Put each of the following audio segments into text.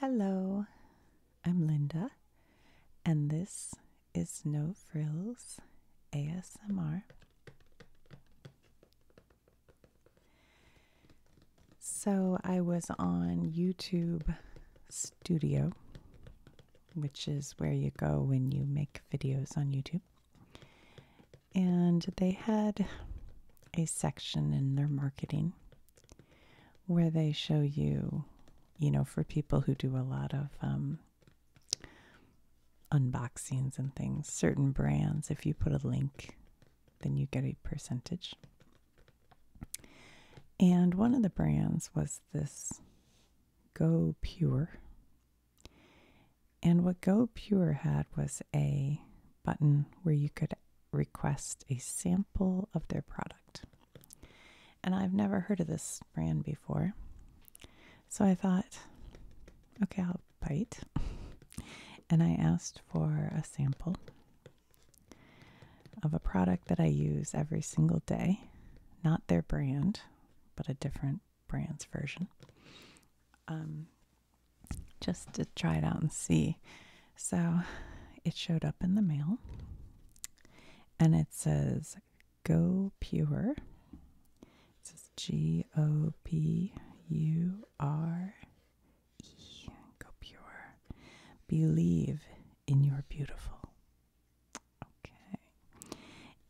Hello, I'm Linda, and this is No Frills ASMR. So, I was on YouTube Studio, which is where you go when you make videos on YouTube, and they had a section in their marketing where they show you, you know, for people who do a lot of um, unboxings and things, certain brands, if you put a link, then you get a percentage. And one of the brands was this Go Pure. And what Go Pure had was a button where you could request a sample of their product. And I've never heard of this brand before. So I thought, okay, I'll bite. And I asked for a sample of a product that I use every single day, not their brand, but a different brand's version. Um, just to try it out and see so it showed up in the mail and it says Go Pure. It says G O P U R E. Go Pure. Believe in your beautiful. Okay.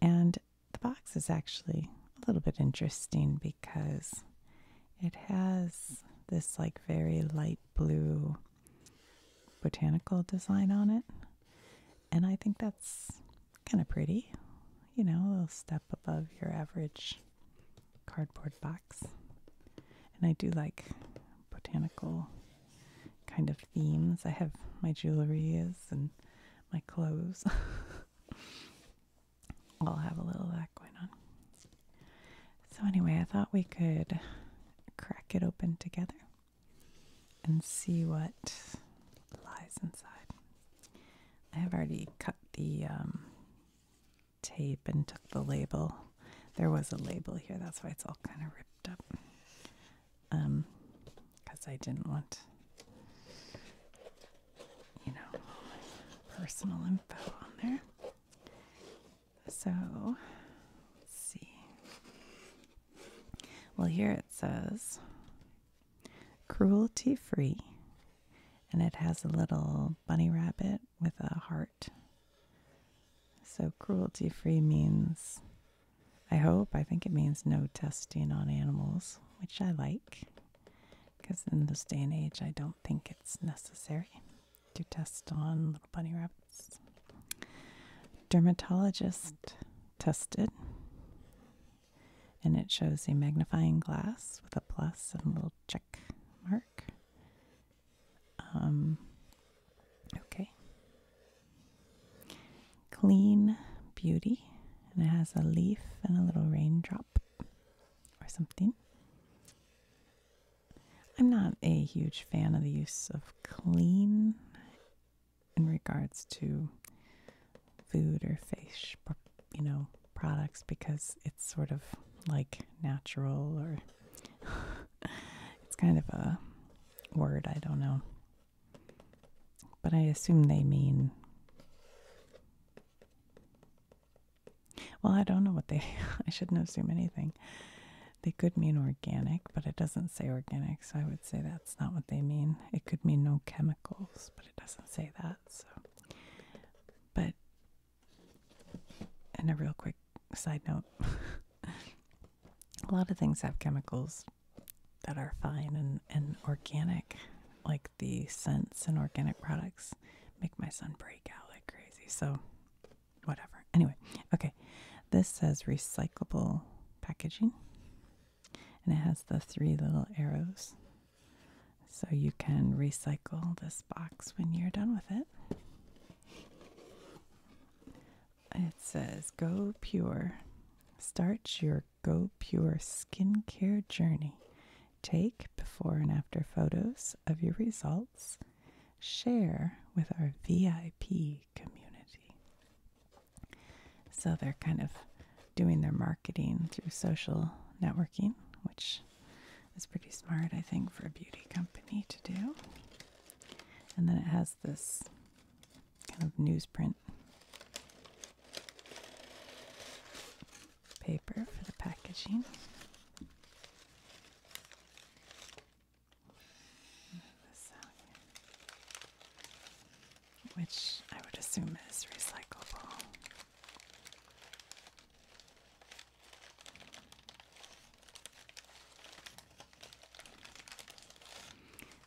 And the box is actually a little bit interesting because it has this like very light blue botanical design on it. And I think that's kind of pretty. You know, a little step above your average cardboard box. And I do like botanical kind of themes. I have my jewelry and my clothes. I'll have a little that going on. So, anyway, I thought we could crack it open together and see what lies inside. I have already cut the um, tape and took the label. There was a label here, that's why it's all kind of ripped up. Um, because I didn't want, you know, personal info on there. So let's see. Well, here it says cruelty free, and it has a little bunny rabbit with a heart. So, cruelty free means, I hope, I think it means no testing on animals, which I like because in this day and age, I don't think it's necessary do tests on little bunny rabbits. Dermatologist tested, and it shows a magnifying glass with a plus and a little check mark. Um, okay. Clean Beauty, and it has a leaf and a little raindrop or something. I'm not a huge fan of the use of clean in regards to food or fish, you know, products because it's sort of like natural or it's kind of a word, I don't know. But I assume they mean well, I don't know what they I shouldn't assume anything. They could mean organic, but it doesn't say organic, so I would say that's not what they mean. It could mean no chemicals, but it doesn't say that. So, but in a real quick side note: a lot of things have chemicals that are fine and and organic, like the scents and organic products make my son break out like crazy. So whatever. Anyway, okay. This says recyclable packaging, and it has the three little arrows. So you can recycle this box when you're done with it. It says Go Pure. Start your Go Pure skincare journey. Take before and after photos of your results share with our VIP community. So they're kind of doing their marketing through social networking, which is pretty smart, I think, for a beauty company to do. And then it has this kind of newsprint paper for the packaging. Which I would assume is recyclable.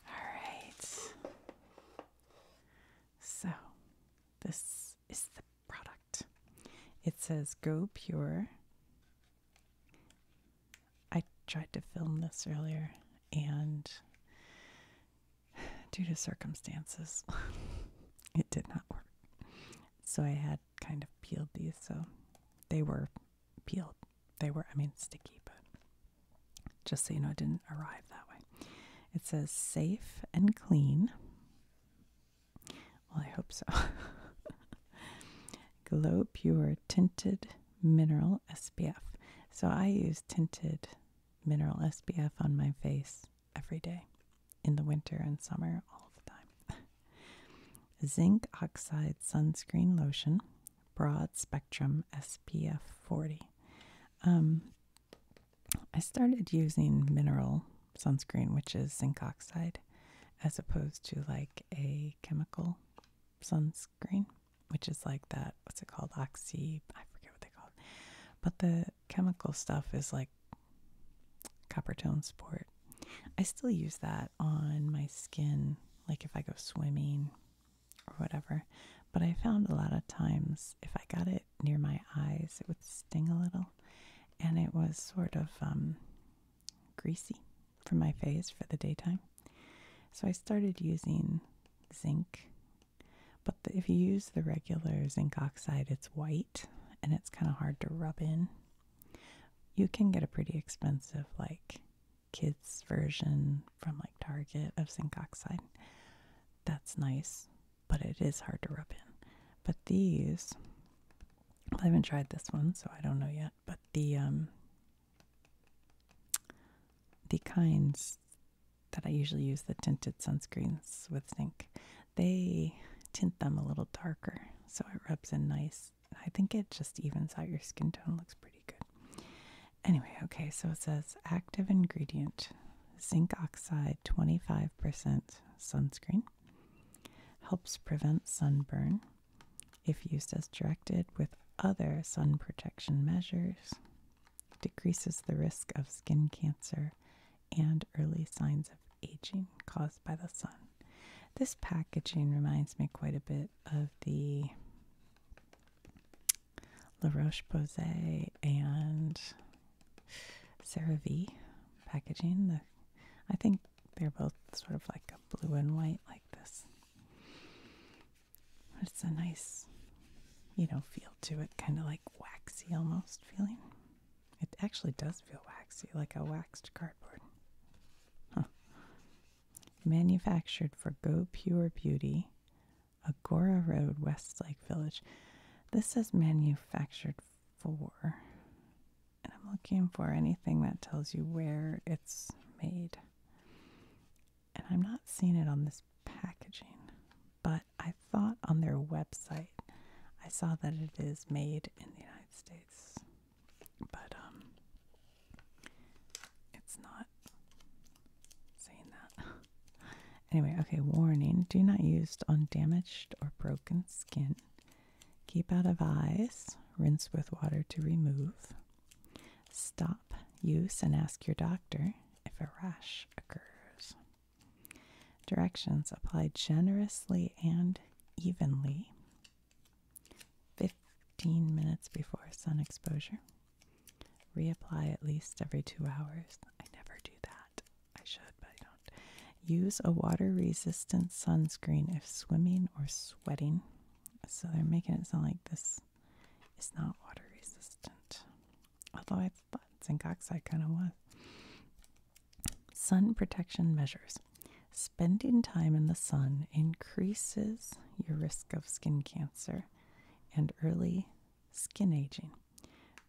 All right. So, this is the product. It says Go Pure I tried to film this earlier, and due to circumstances, it did not work. So I had kind of peeled these, so they were peeled. They were, I mean, sticky, but just so you know, it didn't arrive that way. It says safe and clean. Well, I hope so. Glow Pure Tinted Mineral SPF. So I use tinted mineral SPF on my face every day in the winter and summer, all the time. Zinc Oxide Sunscreen Lotion, Broad Spectrum SPF 40. Um, I started using mineral sunscreen, which is zinc oxide, as opposed to like a chemical sunscreen, which is like that, what's it called? Oxy, I forget what they call it. But the chemical stuff is like copper tone sport. I still use that on my skin, like if I go swimming or whatever. But I found a lot of times if I got it near my eyes, it would sting a little. And it was sort of um, greasy for my face for the daytime. So I started using zinc. But if you use the regular zinc oxide, it's white and it's kind of hard to rub in. You can get a pretty expensive, like, kids' version from like Target of zinc oxide. That's nice, but it is hard to rub in. But these, I haven't tried this one, so I don't know yet but the um, the kinds that I usually use, the tinted sunscreens with zinc, they tint them a little darker, so it rubs in nice. I think it just evens out your skin tone. Looks pretty good. Anyway, okay, so it says active ingredient zinc oxide 25% sunscreen helps prevent sunburn if used as directed with other sun protection measures, decreases the risk of skin cancer and early signs of aging caused by the sun. This packaging reminds me quite a bit of the La Roche Posay and CeraVe packaging. I think they're both sort of like a blue and white, like this. it's a nice, you know, feel to it, kind of like waxy almost feeling. It actually does feel waxy, like a waxed cardboard. Manufactured for Go Pure Beauty, Agora Road, Westlake Village. This is manufactured for. And I'm looking for anything that tells you where it's made. And I'm not seeing it on this packaging, but I thought on their website I saw that it is made in the United States. But um it's not saying that. anyway, okay, warning, do not use on damaged or broken skin. Keep out of eyes. Rinse with water to remove. Stop use and ask your doctor if a rash occurs. Directions apply generously and evenly. 15 minutes before sun exposure. Reapply at least every two hours. I never do that. I should, but I don't. Use a water resistant sunscreen if swimming or sweating. So they're making it sound like this is not water resistant. Although I thought zinc oxide kind of was. Sun protection measures. Spending time in the sun increases your risk of skin cancer and early skin aging.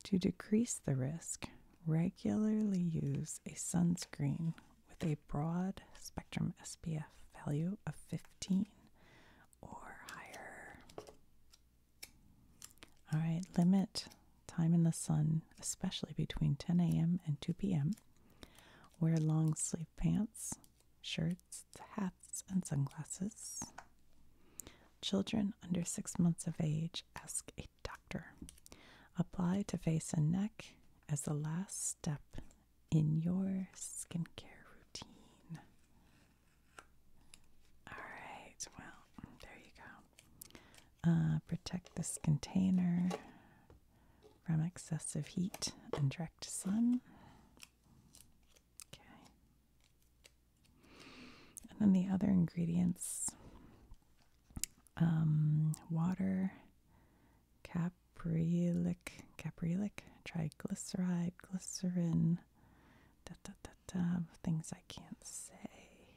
To decrease the risk, regularly use a sunscreen with a broad spectrum SPF value of 15 or higher. All right, limit time in the sun, especially between 10 a.m. and 2 p.m. Wear long sleeve pants, shirts, hats, and sunglasses. Children under six months of age, ask a doctor. Apply to face and neck as the last step in your skincare routine. Alright, well, there you go. Uh, protect this container from excessive heat and direct sun. Okay. And then the other ingredients um, water, caprylic, caprylic, triglyceride, glycerin, things I can't say.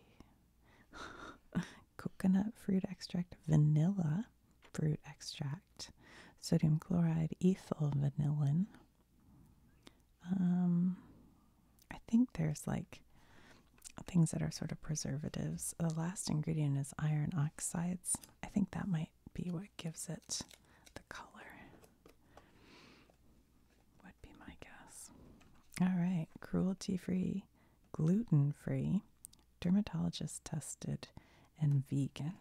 Coconut fruit extract, vanilla fruit extract, sodium chloride, ethyl vanillin. Um, I think there's like things that are sort of preservatives. The last ingredient is iron oxides. I think that might be what gives it the color. Would be my guess. All right, cruelty free, gluten free, dermatologist tested, and vegan.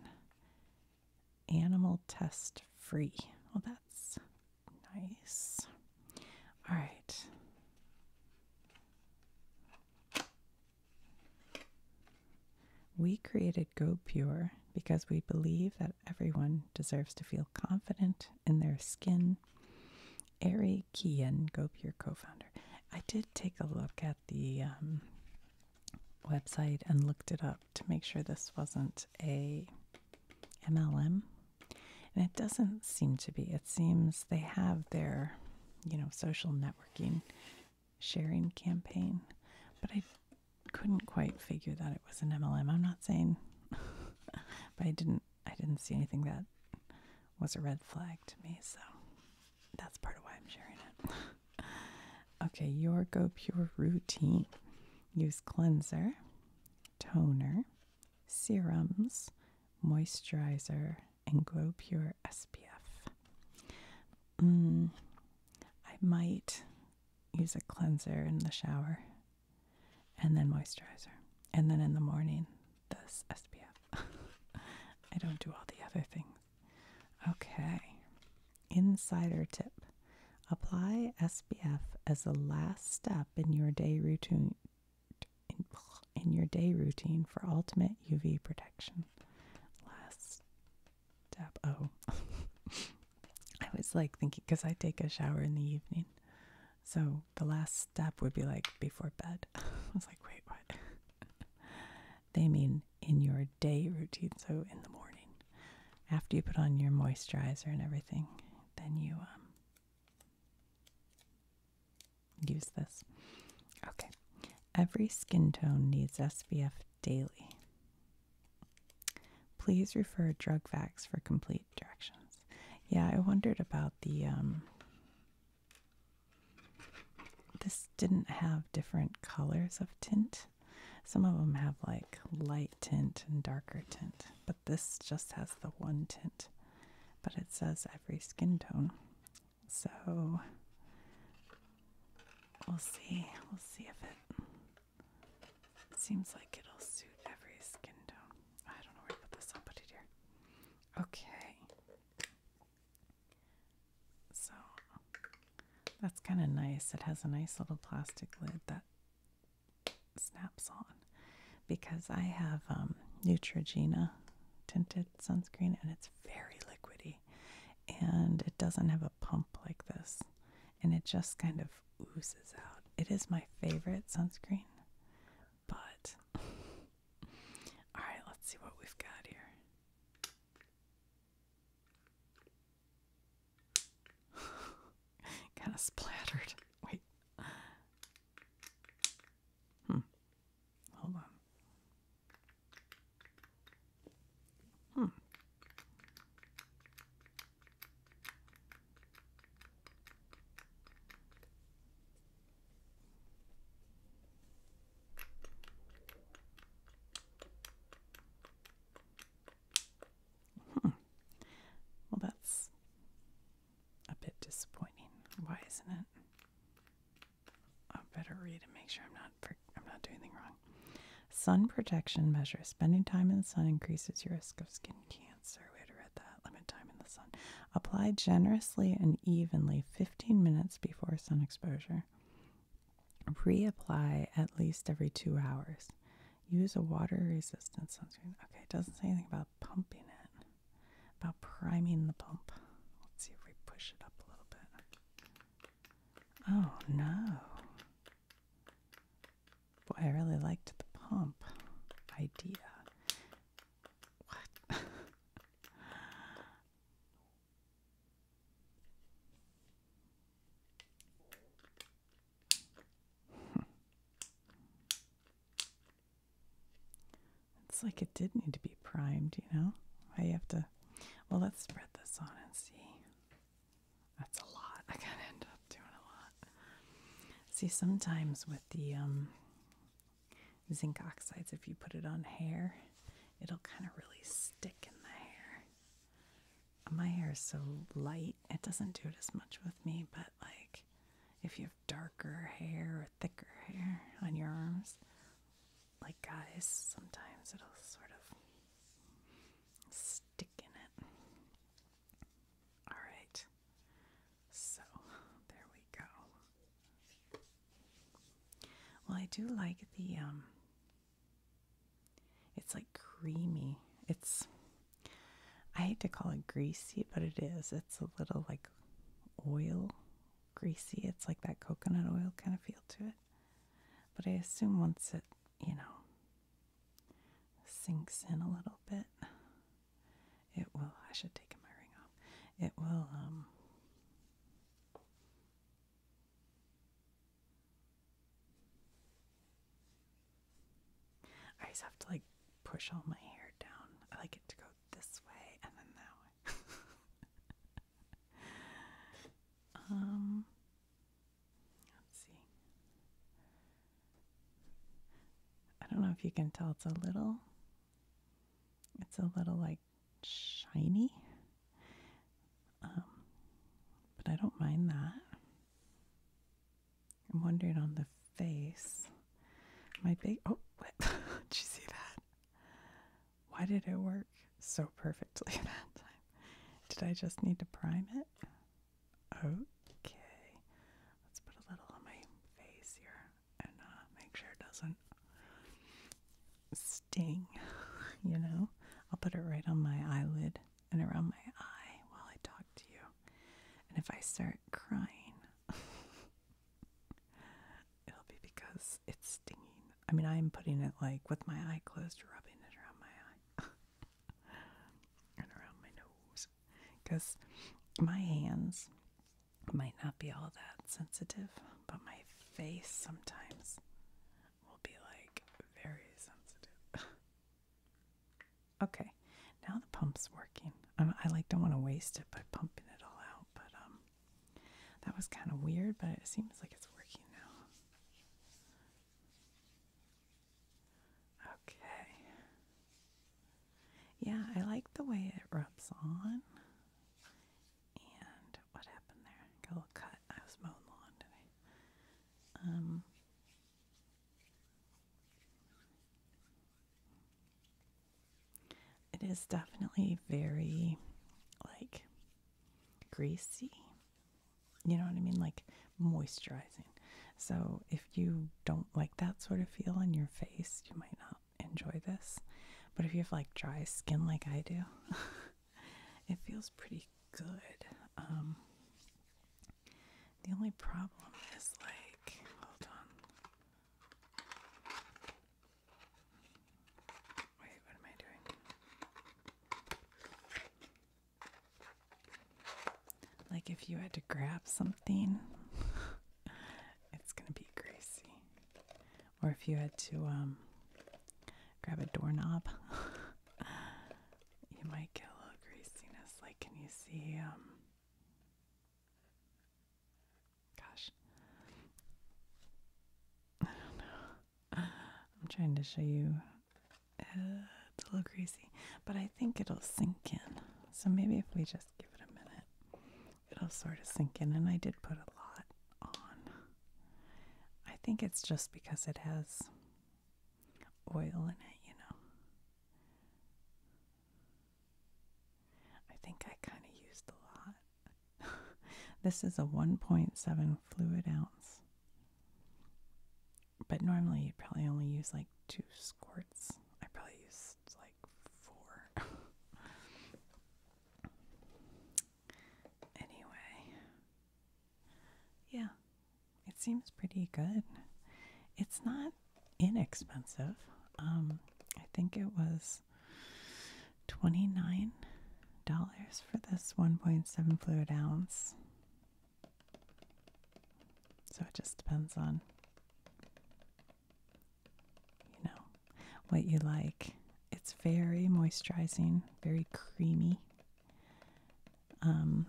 Animal test free. Well, that's nice. All right. We created GoPure because we believe that everyone deserves to feel confident in their skin. Ari Kian, GoPure co founder. I did take a look at the um, website and looked it up to make sure this wasn't a MLM. And it doesn't seem to be. It seems they have their, you know, social networking sharing campaign, but I couldn't quite figure that it was an MLM. I'm not saying, but I didn't I didn't see anything that was a red flag to me, so that's part of why I'm sharing it. okay, your Go Pure routine. Use cleanser, toner, serums, moisturizer, and glow Pure SPF. Mm, I might use a cleanser in the shower and then moisturizer. And then in the morning, this SPF. I don't do all the other things. Okay. Insider tip apply SPF as the last step in your day routine in your day routine for ultimate UV protection last step. Oh, I was like thinking because I take a shower in the evening, so the last step would be like before bed. I was like, wait, what? they mean in your day routine, so in the morning, after you put on your moisturizer and everything, then you um, use this. Okay. Every skin tone needs SPF daily. Please refer drug facts for complete directions. Yeah, I wondered about the um this didn't have different colors of tint. Some of them have like light tint and darker tint, but this just has the one tint. But it says every skin tone. So we'll see. We'll see if it seems like it'll suit every skin tone. I don't know where I put this on, put it here. Okay. So that's kind of nice. It has a nice little plastic lid that snaps on because I have um, Neutrogena tinted sunscreen and it's very liquidy. And it doesn't have a pump like this. And it just kind of oozes out. It is my favorite sunscreen. But, alright, let's see what we've got here. kind of splattered. Wait. Hmm. Hold on. Hmm. Well, that's a bit disappointing. Why isn't it? I better read and make sure I'm not I'm not doing anything wrong. Sun protection measures: spending time in the sun increases your risk of skin cancer. We had read that. Limit time in the sun. Apply generously and evenly, 15 minutes before sun exposure. Reapply at least every two hours. Use a water-resistant sunscreen. Okay, it doesn't say anything about pumping it. About priming the pump. Let's see if we push it up a little bit. Oh no. Boy, I really liked the pump idea. What? it's like it did need to be primed, you know? I have to well, let's spread this on and see. That's a lot. I gotta end up doing a lot. See, sometimes with the um, zinc oxides, if you put it on hair, it'll kind of really stick in the hair. My hair is so light, it doesn't do it as much with me, but like if you have darker hair or thicker hair on your arms, like guys, sometimes it'll sort of stick in it. Alright, so there we go. Well, I do like the, um, it's like creamy. It's, I hate to call it greasy, but it is. It's a little like oil greasy. It's like that coconut oil kind of feel to it. But I assume once it, you know, sinks in a little bit, it will. I should take my ring off. It will, um, I just have to like push all my hair down. I like it to go this way and then that way. um, let's see. I don't know if you can tell it's a little it's a little like shiny. Um, but I don't mind that. I'm wondering on the face. My big oh, did you see that? Why did it work so perfectly that time? Did I just need to prime it? Okay. Let's put a little on my face here and uh, make sure it doesn't sting, you know? I'll put it right on my eyelid and around my eye while I talk to you. And if I start crying, it'll be because it's stinging. I mean, I'm putting it like with my eye closed, rubbing it around my eye and around my nose because my hands might not be all that sensitive, but my face sometimes will be like very sensitive. okay, now the pump's working. i like don't want to waste it by pumping it all out, but um, that was kind of weird, but it seems like it's working now. Okay. Yeah, I like the way it rubs on. And what happened there? Got a little cut. I was mowing lawn today. Um. It is definitely very like greasy. You know what I mean? Like moisturizing. So, if you don't like that sort of feel on your face, you might not enjoy this. But if you have like dry skin like I do, it feels pretty good. Um, the only problem is like, hold on. Wait, what am I doing? Like if you had to grab something, it's gonna be greasy. Or if you had to um, grab a doorknob, you might get a little greasiness. Like, can you see? Um, gosh, I don't know. I'm trying to show you. it's a little crazy, but I think it'll sink in. So maybe if we just give it a minute, it'll sort of sink in. And I did put a lot on. I think it's just because it has oil in it, you know. I think I kind of used a lot. this is a 1.7 fluid ounce. But normally you'd probably only use like two squirts. I probably used like four. anyway, yeah, it seems pretty good. It's not inexpensive. Um, I think it was $29 for this 1.7 fluid ounce. So it just depends on, you know, what you like. It's very moisturizing, very creamy. Um,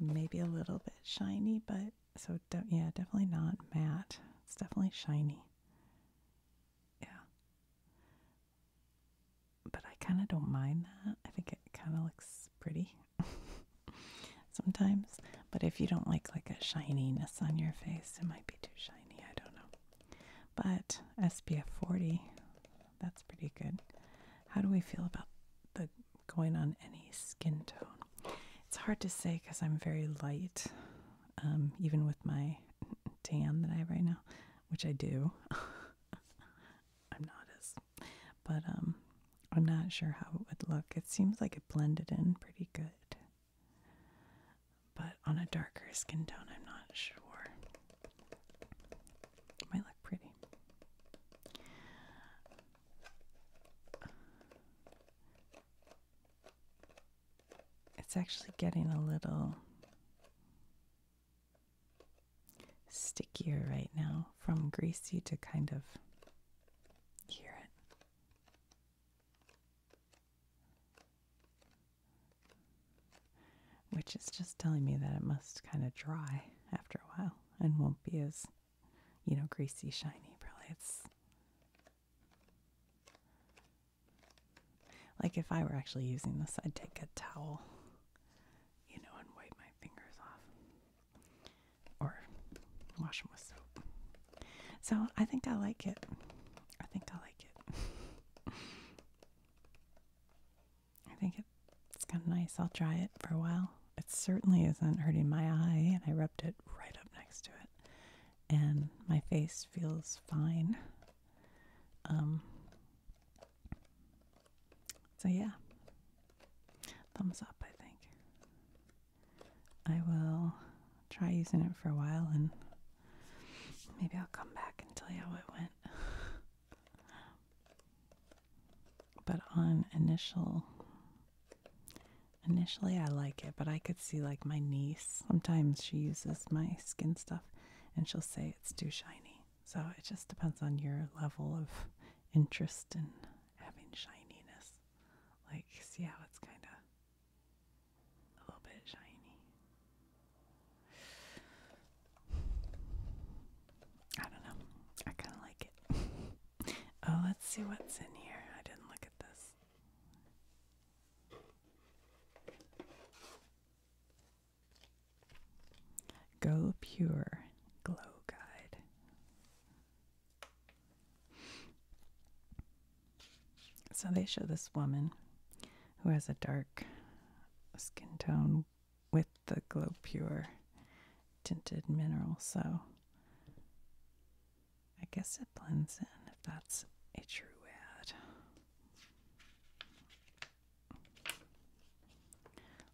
maybe a little bit shiny, but so de yeah, definitely not matte. It's definitely shiny. Yeah but I kind of don't mind that. I think it kind of looks pretty sometimes. But if you don't like like a shininess on your face, it might be too shiny. I don't know. But SPF 40, that's pretty good. How do we feel about the going on any skin tone? It's hard to say because I'm very light, um, even with my tan that I have right now, which I do. I'm not as, but um, I'm not sure how it would look. It seems like it blended in pretty good. But on a darker skin tone, I'm not sure. might look pretty. It's actually getting a little stickier right now, from greasy to kind of hear it. Which is just telling me that it must kind of dry after a while and won't be as, you know, greasy, shiny. Probably it's like if I were actually using this, I'd take a towel, you know, and wipe my fingers off or wash them with soap. So I think I like it. I think I like it. I think it's kind of nice. I'll try it for a while. It certainly isn't hurting my eye, and I rubbed it right up next to it. And my face feels fine. Um, so, yeah, thumbs up, I think. I will try using it for a while and maybe I'll come back and tell you how it went. but on initial initially I like it, but I could see like my niece. Sometimes she uses my skin stuff and she'll say it's too shiny. So it just depends on your level of interest in having shininess. Like, see how it's kind of a little bit shiny. I don't know. I kind of like it. oh, let's see what's in here. I didn't look at this. Go Pure Glow Guide. So they show this woman who has a dark skin tone with the Glow Pure tinted mineral. So I guess it blends in if that's a true ad.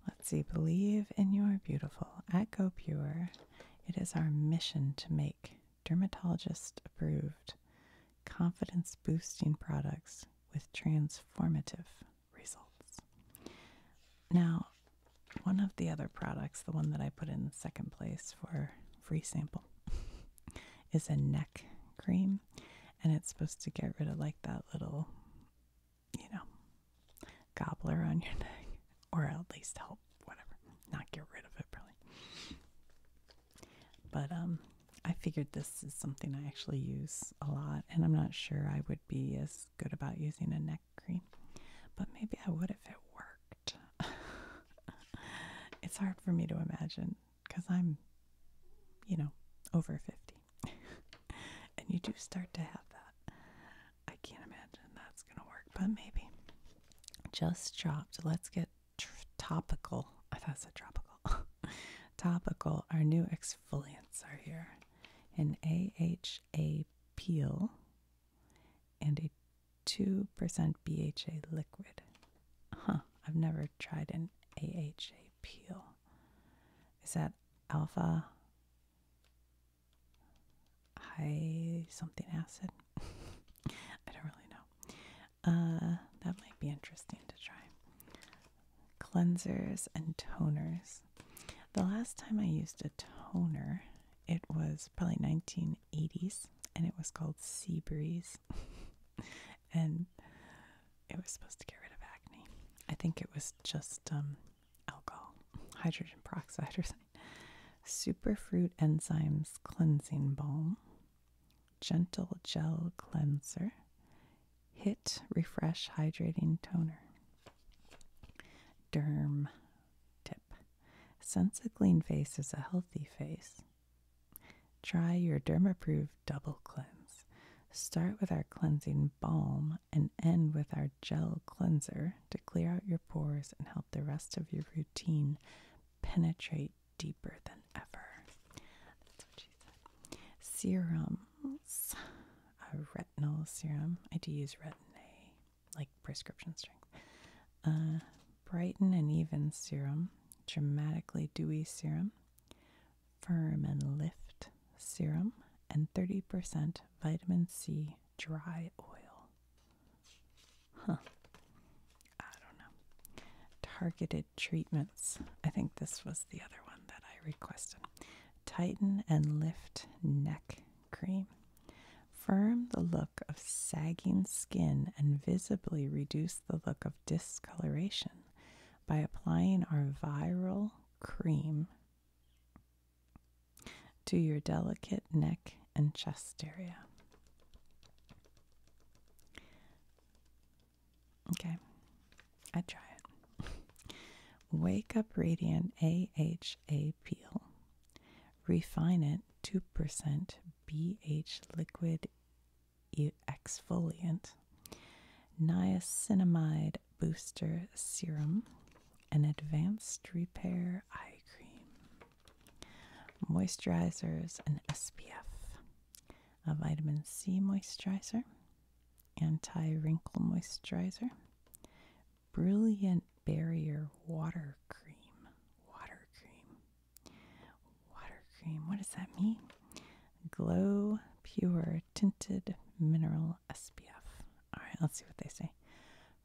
Let's see, believe in your beautiful at GoPure. It is our mission to make dermatologist approved confidence boosting products with transformative results. Now, one of the other products, the one that I put in second place for free sample, is a neck cream, and it's supposed to get rid of like that little, you know, gobbler on your neck, or at least help whatever, not get rid of it really. But um, I figured this is something I actually use a lot, and I'm not sure I would be as good about using a neck cream, but maybe I would if it worked. it's hard for me to imagine because I'm, you know, over 50. and you do start to have that. I can't imagine that's going to work, but maybe. Just dropped. Let's get topical. I thought I said tropical. topical. Our new exfoliants are here an AHA peel and a 2% BHA liquid. Huh, I've never tried an AHA peel is that alpha high something acid? I don't really know. Uh, that might be interesting to try. Cleansers and toners. The last time I used a toner, it was probably 1980s and it was called Sea Breeze. and it was supposed to get rid of acne. I think it was just um, alcohol, hydrogen peroxide or something. Superfruit enzymes cleansing balm, gentle gel cleanser, hit refresh hydrating toner, derm tip. Sense a clean face is a healthy face. Try your derm approved double cleanse. Start with our cleansing balm and end with our gel cleanser to clear out your pores and help the rest of your routine penetrate deeper than ever. Serums. A retinol serum. I do use retin A, like prescription strength. brighten and even serum. Dramatically dewy serum. Firm and Lift serum and 30% vitamin C dry oil. Huh. I don't know. Targeted treatments. I think this was the other one that I requested. Tighten and lift neck cream. Firm the look of sagging skin and visibly reduce the look of discoloration by applying our viral cream to your delicate neck and chest area. Okay, I try it. Wake Up Radiant AHA Peel. Refine it 2% BH Liquid exfoliant niacinamide booster serum, an advanced repair eye cream, moisturizers, and SPF, a vitamin C moisturizer, anti wrinkle moisturizer, brilliant barrier water cream. Water cream. Water cream. What does that mean? Glow Pure Tinted Mineral SPF. Alright, let's see what they say.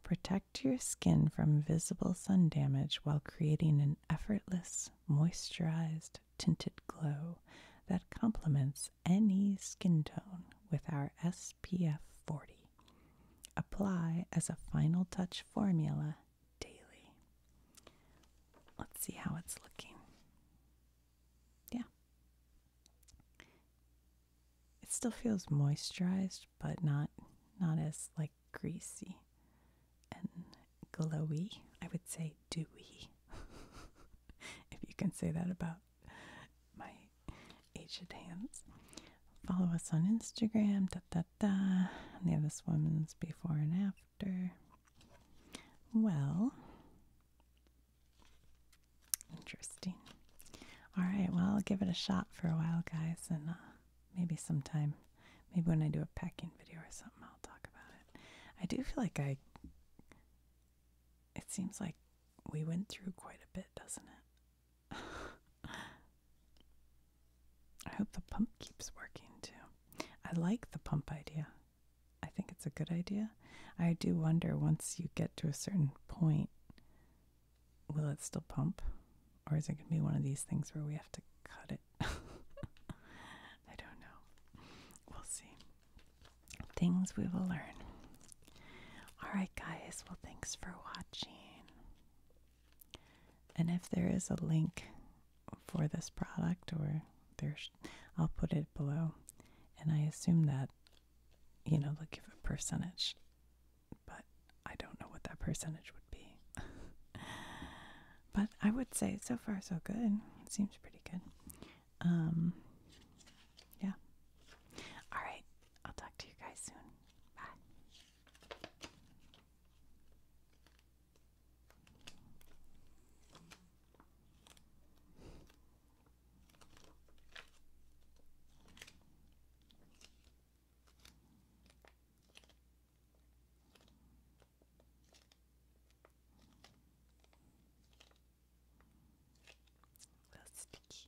Protect your skin from visible sun damage while creating an effortless, moisturized, tinted glow that complements any skin tone with our SPF 40. Apply as a final touch formula daily. Let's see how it's looking. Yeah. It still feels moisturized, but not not as like greasy and glowy. I would say dewy. if you can say that about my aged hands. Follow us on Instagram, da da da. And they have this woman's before and after. Well, Interesting. All right, well, I'll give it a shot for a while, guys, and uh, maybe sometime, maybe when I do a packing video or something, I'll talk about it. I do feel like I, it seems like we went through quite a bit, doesn't it? I hope the pump keeps working too. I like the pump idea. I think it's a good idea. I do wonder once you get to a certain point, will it still pump? Or is it going to be one of these things where we have to cut it? I don't know. We'll see. Things we will learn. Alright, guys. Well, thanks for watching. And if there is a link for this product or there's. I'll put it below. And I assume that, you know, they'll give a percentage, but I don't know what that percentage would be. but I would say so far so good. It seems pretty good. Um, yeah. All right. I'll talk to you guys soon. Bye. That's sticky.